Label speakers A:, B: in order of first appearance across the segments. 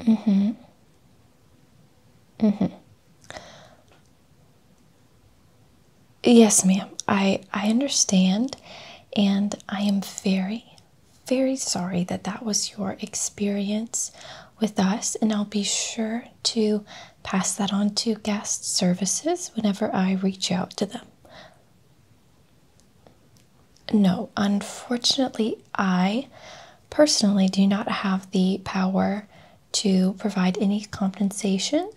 A: Mm-hmm. Mm-hmm. Yes, ma'am. I I understand and I am very very sorry that that was your experience with us and I'll be sure to pass that on to guest services whenever I reach out to them. No, unfortunately, I personally do not have the power to provide any compensation.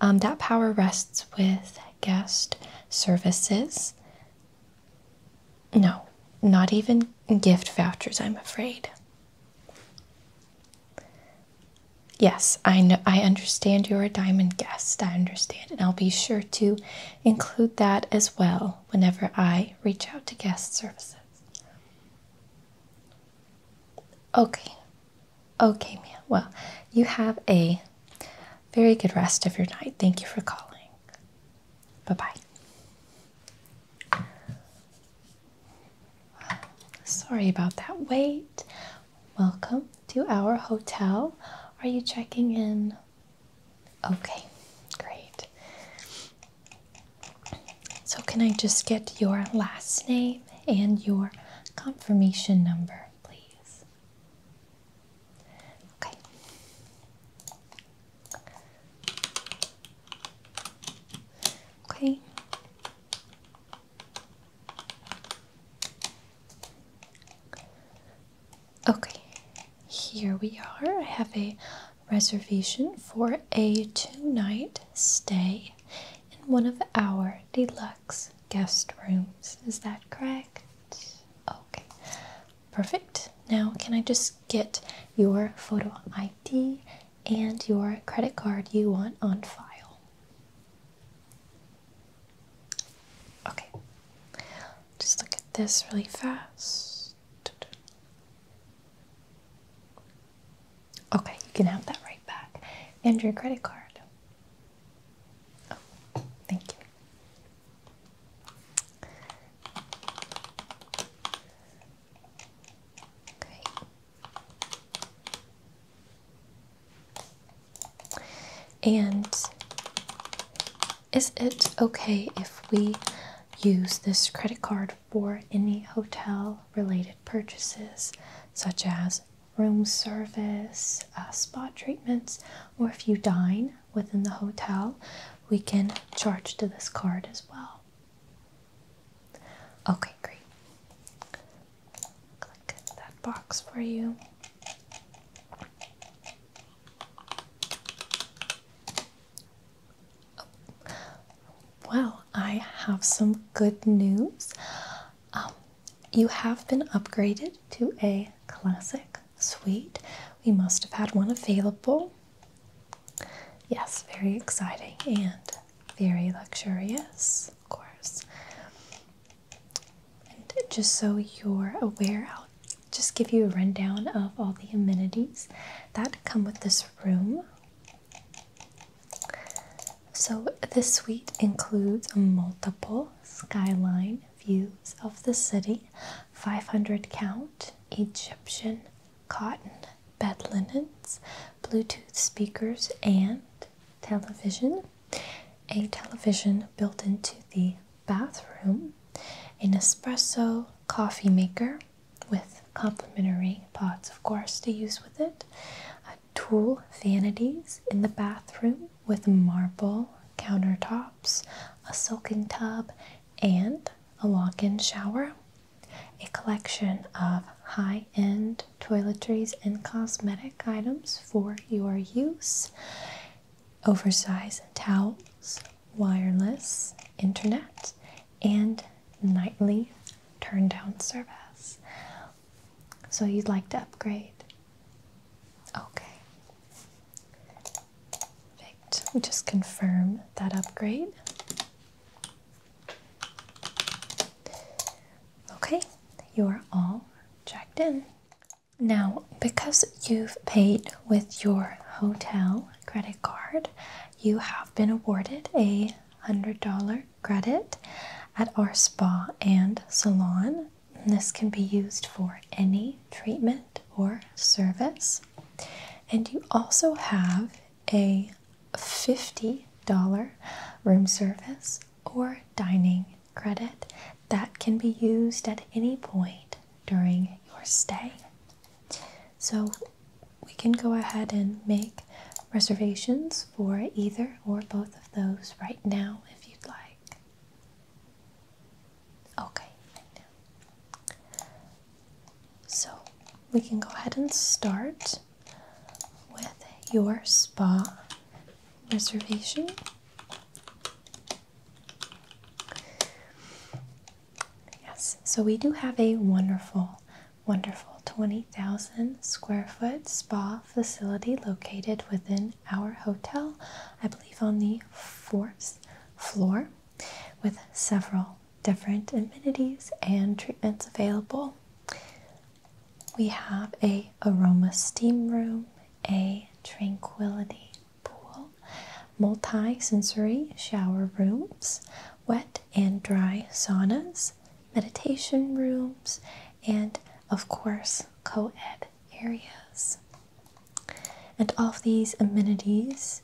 A: Um, that power rests with guest services. No, not even gift vouchers, I'm afraid. Yes, I know I understand you're a diamond guest. I understand, and I'll be sure to include that as well whenever I reach out to guest services. Okay, okay, ma'am. Well, you have a very good rest of your night. Thank you for calling. Bye bye. Sorry about that wait. Welcome to our hotel. Are you checking in Okay, great. So, can I just get your last name and your confirmation number, please? Okay. Okay. Okay, here we are. I have a reservation for a two night stay in one of our deluxe guest rooms. Is that correct? Okay, perfect. Now, can I just get your photo ID and your credit card you want on file? Okay, just look at this really fast. Okay, you can have that right back. And your credit card. Oh, thank you. Okay. And is it okay if we use this credit card for any hotel related purchases, such as room service, uh, spa treatments, or if you dine within the hotel, we can charge to this card as well. Okay, great that box for you. Oh, well, I have some good news. Um, you have been upgraded to a classic suite. We must have had one available. Yes, very exciting and very luxurious, of course. And just so you're aware, I'll just give you a rundown of all the amenities that come with this room. So, this suite includes multiple skyline views of the city, 500 count Egyptian cotton bed linens, Bluetooth speakers, and television a television built into the bathroom, an espresso coffee maker with complimentary pots, of course, to use with it, a tool vanities in the bathroom with marble countertops, a soaking tub, and a walk in shower, a collection of high end toiletries and cosmetic items for your use oversized towels, wireless internet, and nightly turn down service. So you'd like to upgrade? Okay. Perfect. We just confirm that upgrade. Okay, you're all checked in. Now, because you've paid with your hotel credit card, you have been awarded a $100 credit at our spa and salon. This can be used for any treatment or service. And you also have a $50 room service or dining credit that can be used at any point during your stay. So we can go ahead and make reservations for either or both of those right now if you'd like. Okay, So we can go ahead and start with your spa reservation. Yes, so we do have a wonderful, wonderful 20,000 square foot spa facility located within our hotel, I believe on the fourth floor, with several different amenities and treatments available we have a aroma steam room, a tranquility pool, multi-sensory shower rooms, wet and dry saunas, meditation rooms, and of course co-ed areas. And all of these amenities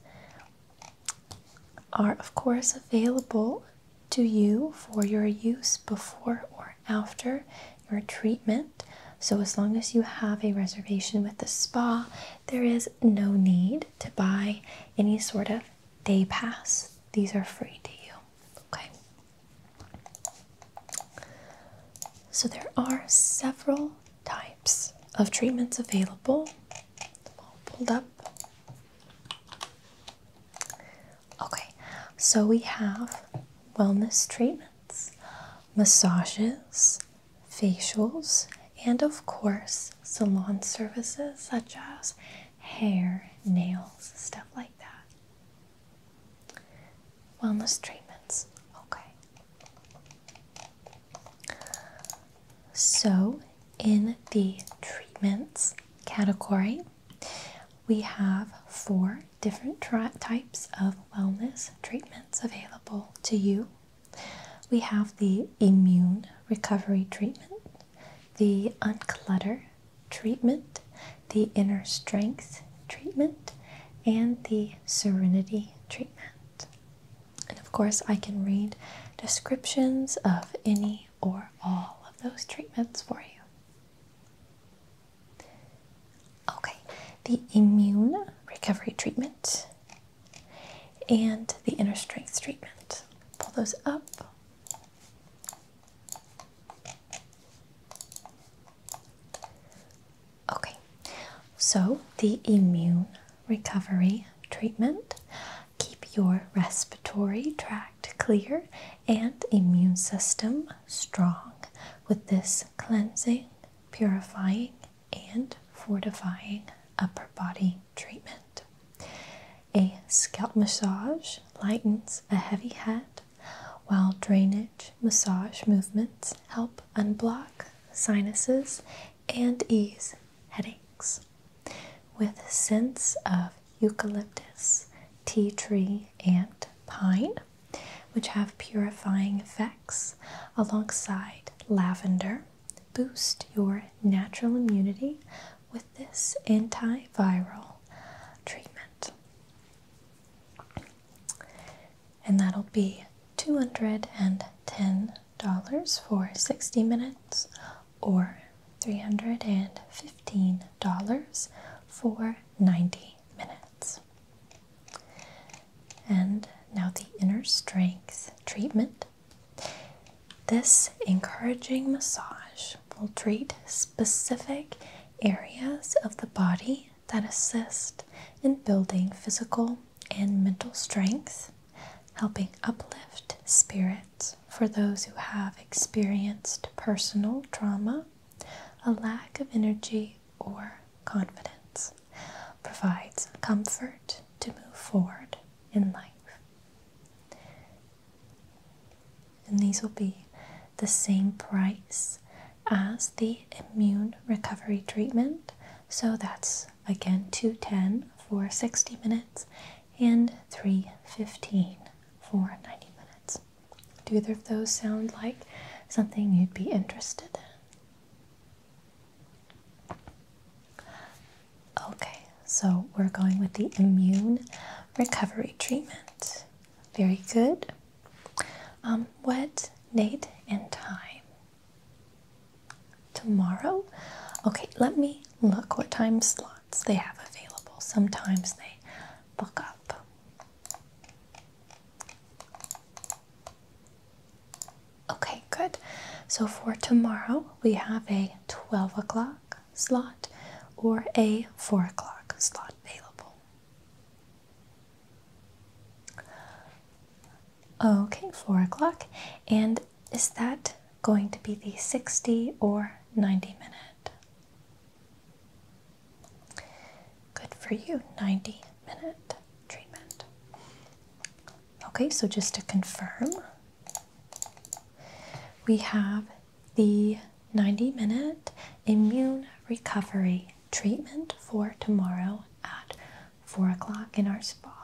A: are of course available to you for your use before or after your treatment. So, as long as you have a reservation with the spa, there is no need to buy any sort of day pass. These are free to you. Okay. So, there are several types of treatments available. All pulled up. Okay, so we have wellness treatments, massages, facials, and of course, salon services such as hair, nails, stuff like that. Wellness treatments, okay. So, in the treatments category, we have four different types of wellness treatments available to you. We have the immune recovery treatment, the unclutter treatment, the inner strength treatment, and the serenity treatment. And of course, I can read descriptions of any or all of those treatments for you. Okay, the immune recovery treatment and the inner strength treatment. Pull those up. Okay, so the immune recovery treatment. Keep your respiratory tract act clear and immune system strong with this cleansing, purifying, and fortifying upper body treatment. A scalp massage lightens a heavy head, while drainage massage movements help unblock sinuses and ease headaches. With a sense of eucalyptus, tea tree, and pine, which have purifying effects alongside lavender. Boost your natural immunity with this antiviral treatment. And that'll be $210 for 60 minutes or $315 for 90 minutes. And now the inner strength treatment. This encouraging massage will treat specific areas of the body that assist in building physical and mental strength, helping uplift spirit for those who have experienced personal trauma, a lack of energy or confidence provides comfort to move forward in life. And these will be the same price as the immune recovery treatment. So that's again 210 for 60 minutes and 315 for 90 minutes. Do either of those sound like something you'd be interested in? Okay, so we're going with the immune recovery treatment. Very good. Um, what date and time? Tomorrow? Okay, let me look what time slots they have available. Sometimes they book up. Okay, good. So for tomorrow, we have a 12 o'clock slot or a 4 o'clock slot available. Okay, 4 o'clock. And is that going to be the 60 or 90 minute? Good for you, 90 minute treatment. Okay, so just to confirm, we have the 90 minute immune recovery treatment for tomorrow at 4 o'clock in our spa.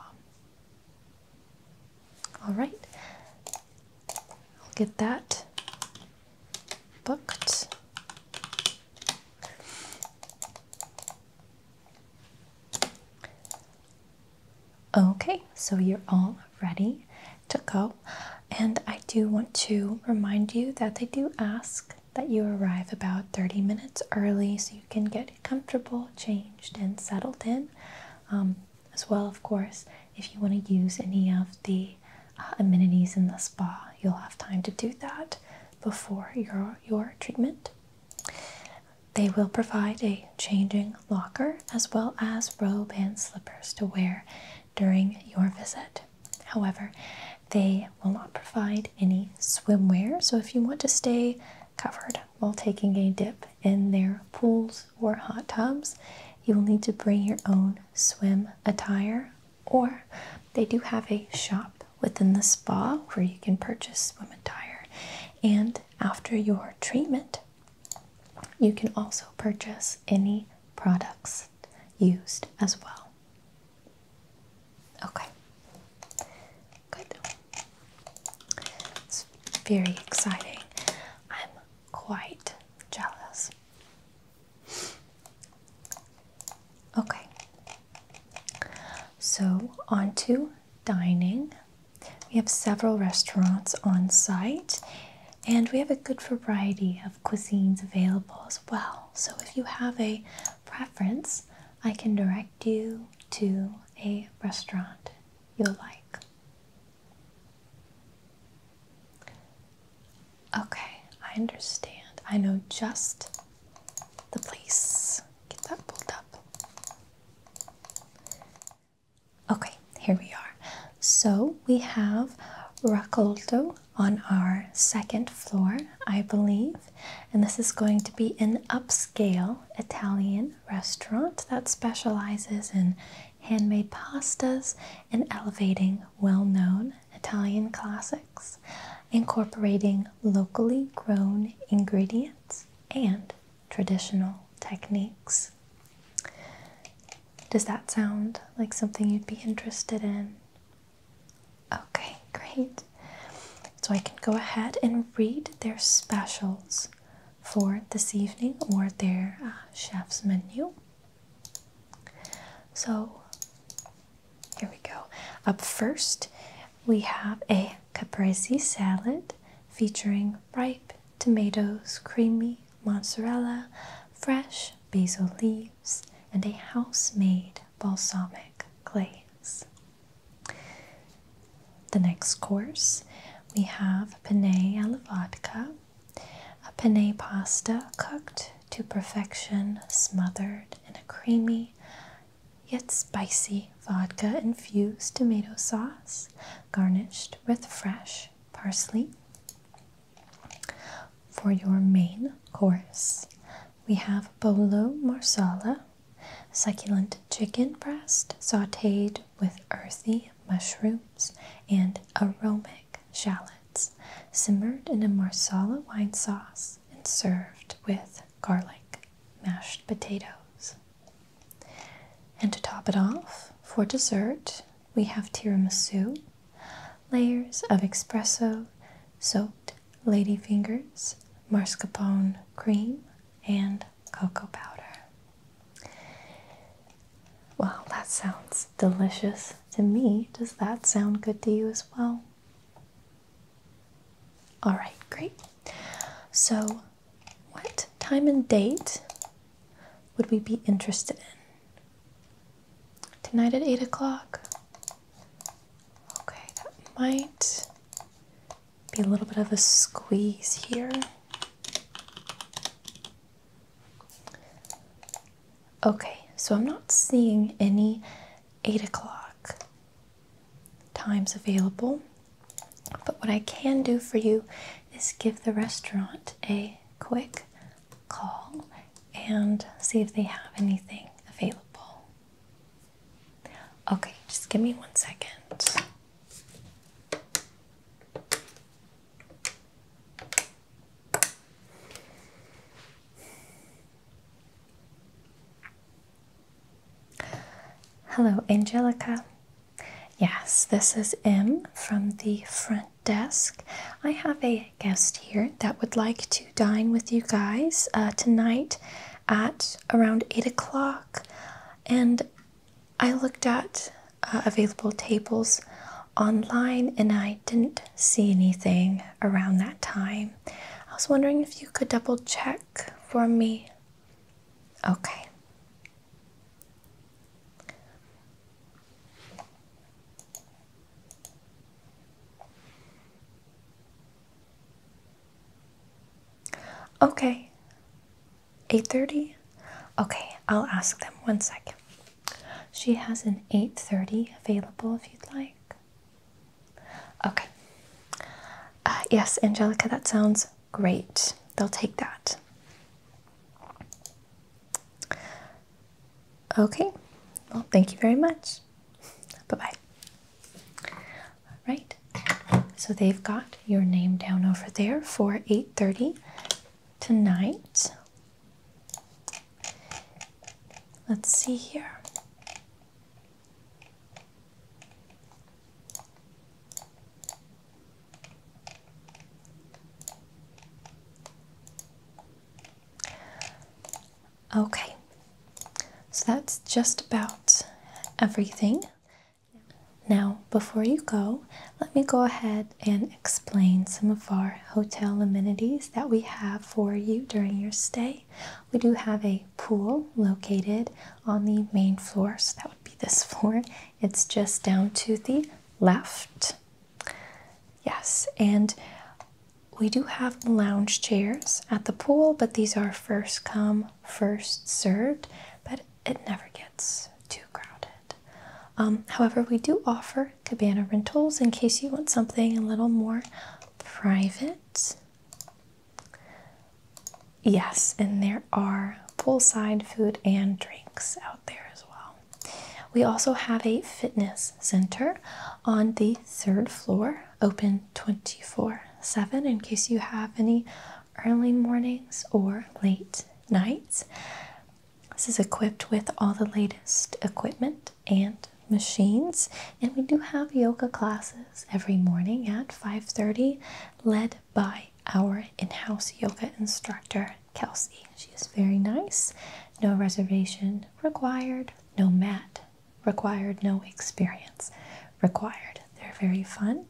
A: All right, I'll get that booked. Okay, so you're all ready to go. And I do want to remind you that they do ask that you arrive about 30 minutes early so you can get comfortable, changed, and settled in. Um, as well, of course, if you want to use any of the uh, amenities in the spa, you'll have time to do that before your, your treatment. They will provide a changing locker as well as robe and slippers to wear during your visit. However, they will not provide any swimwear, so if you want to stay covered while taking a dip in their pools or hot tubs. You will need to bring your own swim attire, or they do have a shop within the spa where you can purchase swim attire. And after your treatment, you can also purchase any products used as well. Okay, good. It's very exciting. I'm quite jealous. Okay, so on to dining. We have several restaurants on site, and we have a good variety of cuisines available as well. So, if you have a preference, I can direct you to a restaurant you will like. Okay, I understand. I know just the place. Get that pulled up. Okay, here we are. So we have Raccolto on our second floor, I believe, and this is going to be an upscale Italian restaurant that specializes in handmade pastas and elevating well known Italian classics, incorporating locally grown ingredients and traditional techniques. Does that sound like something you'd be interested in? Okay, great. So I can go ahead and read their specials for this evening or their uh, chef's menu. So here we go. Up first, we have a caprese salad featuring ripe tomatoes, creamy mozzarella, fresh basil leaves, and a house made balsamic glaze. The next course, we have penne alla vodka, a penne pasta cooked to perfection, smothered in a creamy yet spicy vodka infused tomato sauce, garnished with fresh parsley. For your main course, we have Bolo Marsala, succulent chicken breast sauteed with earthy mushrooms and aromatic shallots, simmered in a marsala wine sauce and served with garlic mashed potatoes. And to top it off, for dessert, we have tiramisu, layers of espresso, soaked ladyfingers, mascarpone cream, and cocoa powder. Well, that sounds delicious to me. Does that sound good to you as well? All right, great. So, what time and date would we be interested in? Tonight at 8 o'clock? Okay, that might be a little bit of a squeeze here. Okay, so I'm not seeing any 8 o'clock times available, but what I can do for you is give the restaurant a quick call and see if they have anything available. Okay, just give me one second. Hello, Angelica. Yes, this is M from the front desk. I have a guest here that would like to dine with you guys uh, tonight at around 8 o'clock and I looked at uh, available tables online and I didn't see anything around that time. I was wondering if you could double check for me. Okay. Okay. 8:30. Okay, I'll ask them one second. She has an 8:30 available if you'd like. Okay. Uh, yes, Angelica, that sounds great. They'll take that. Okay. Well, thank you very much. Bye-bye. All right. So they've got your name down over there for 8:30 tonight. Let's see here. Okay, so that's just about everything. Now, before you go, let me go ahead and explain some of our hotel amenities that we have for you during your stay. We do have a pool located on the main floor, so that would be this floor. It's just down to the left. Yes, and we do have lounge chairs at the pool, but these are first come, first served, but it never gets too crowded. Um, however, we do offer cabana rentals in case you want something a little more private. Yes, and there are poolside food and drinks out there as well. We also have a fitness center on the third floor open 24 7 in case you have any early mornings or late nights. This is equipped with all the latest equipment and machines and we do have yoga classes every morning at 5:30 led by our in-house yoga instructor Kelsey. She is very nice. No reservation required, no mat required no experience required. They're very fun.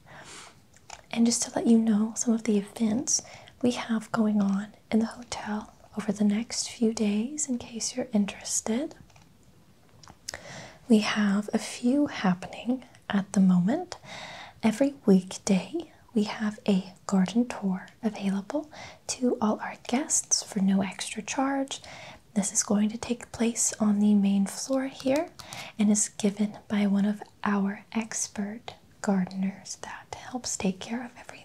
A: And just to let you know some of the events we have going on in the hotel over the next few days, in case you're interested, we have a few happening at the moment. Every weekday, we have a garden tour available to all our guests for no extra charge. This is going to take place on the main floor here and is given by one of our expert gardeners that helps take care of everything.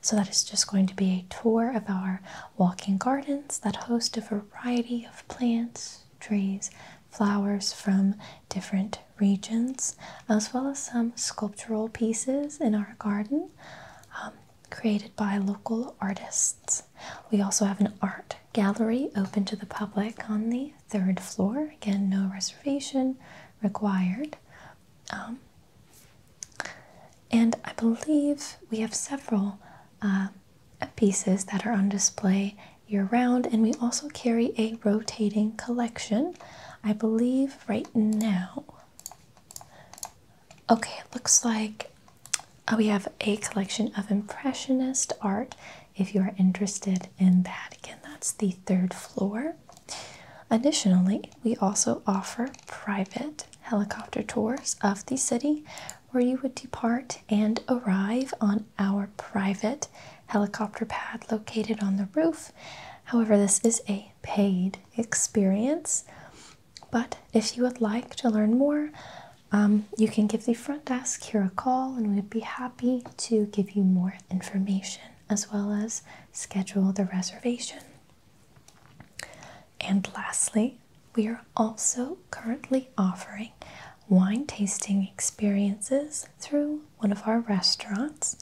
A: So, that is just going to be a tour of our walking gardens that host a variety of plants, trees, flowers from different regions, as well as some sculptural pieces in our garden. Um, created by local artists. We also have an art gallery open to the public on the third floor. Again, no reservation required. Um, and I believe we have several uh, pieces that are on display year round, and we also carry a rotating collection. I believe right now Okay, it looks like uh, we have a collection of Impressionist art if you are interested in that. Again, that's the third floor. Additionally, we also offer private helicopter tours of the city where you would depart and arrive on our private helicopter pad located on the roof. However, this is a paid experience. But if you would like to learn more, um, you can give the front desk here a call and we'd be happy to give you more information as well as schedule the reservation. And lastly, we are also currently offering wine tasting experiences through one of our restaurants.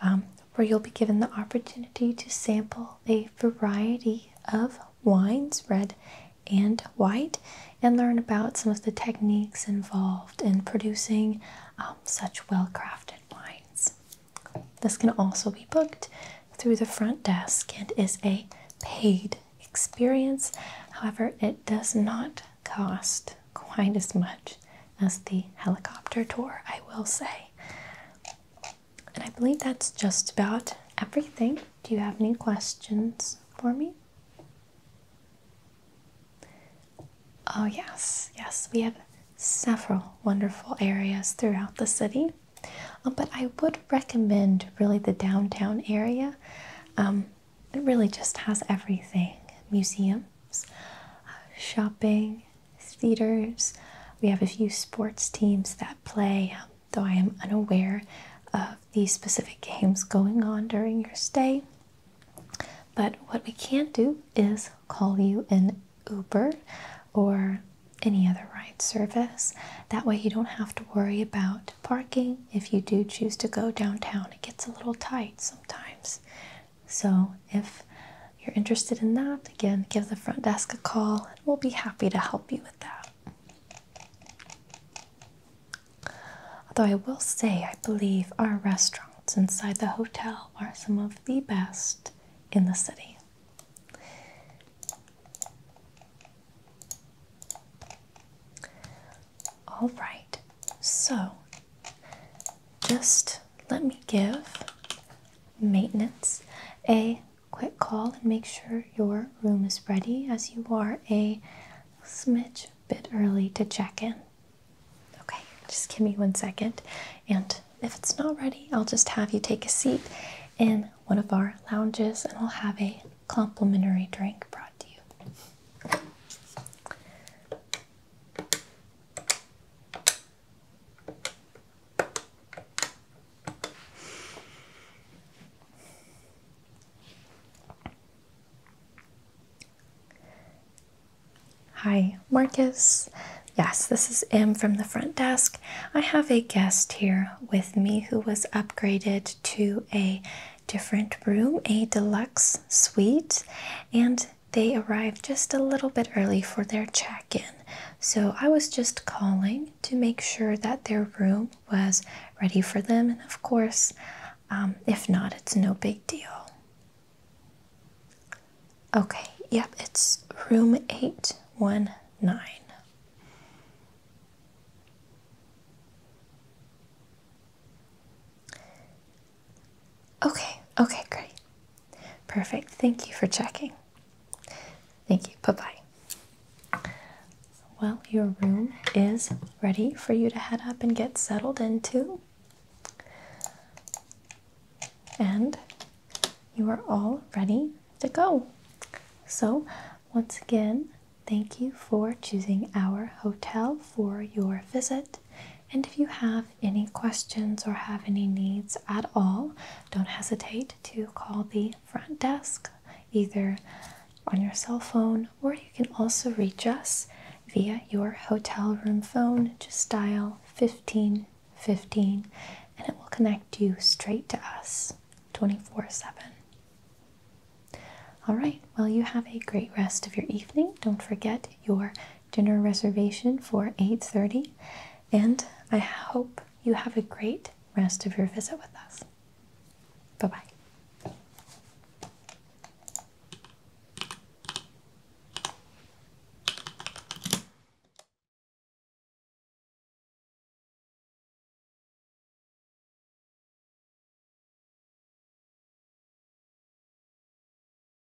A: Um, where you'll be given the opportunity to sample a variety of wines, red and white, and learn about some of the techniques involved in producing um, such well crafted wines. This can also be booked through the front desk and is a paid experience. However, it does not cost quite as much as the helicopter tour, I will say. And I believe that's just about everything. Do you have any questions for me? Oh, yes, yes, we have several wonderful areas throughout the city. Um, but I would recommend really the downtown area. Um, it really just has everything museums, uh, shopping, theaters. We have a few sports teams that play, um, though I am unaware of the specific games going on during your stay. But what we can do is call you an Uber or any other ride service. That way, you don't have to worry about parking. If you do choose to go downtown, it gets a little tight sometimes. So, if you're interested in that, again, give the front desk a call and we'll be happy to help you with that. Although I will say, I believe our restaurants inside the hotel are some of the best in the city. All right, so just let me give maintenance a quick call and make sure your room is ready as you are a smidge bit early to check in. Okay, just give me one second. And if it's not ready, I'll just have you take a seat in one of our lounges and I'll have a complimentary drink brought to you. Hi, Marcus. Yes, this is M from the front desk. I have a guest here with me who was upgraded to a different room, a deluxe suite, and they arrived just a little bit early for their check in, so I was just calling to make sure that their room was ready for them, and of course, um, if not, it's no big deal. Okay, yep, it's room 819. Okay, okay, great. Perfect. Thank you for checking. Thank you. Bye bye. Well, your room is ready for you to head up and get settled into. And you are all ready to go. So, once again, thank you for choosing our hotel for your visit. And if you have any questions or have any needs at all, don't hesitate to call the front desk either on your cell phone or you can also reach us via your hotel room phone. Just dial 1515 and it will connect you straight to us 24 7. All right, well, you have a great rest of your evening. Don't forget your dinner reservation for 8:30 and I hope you have a great rest of your visit with us. Bye-bye.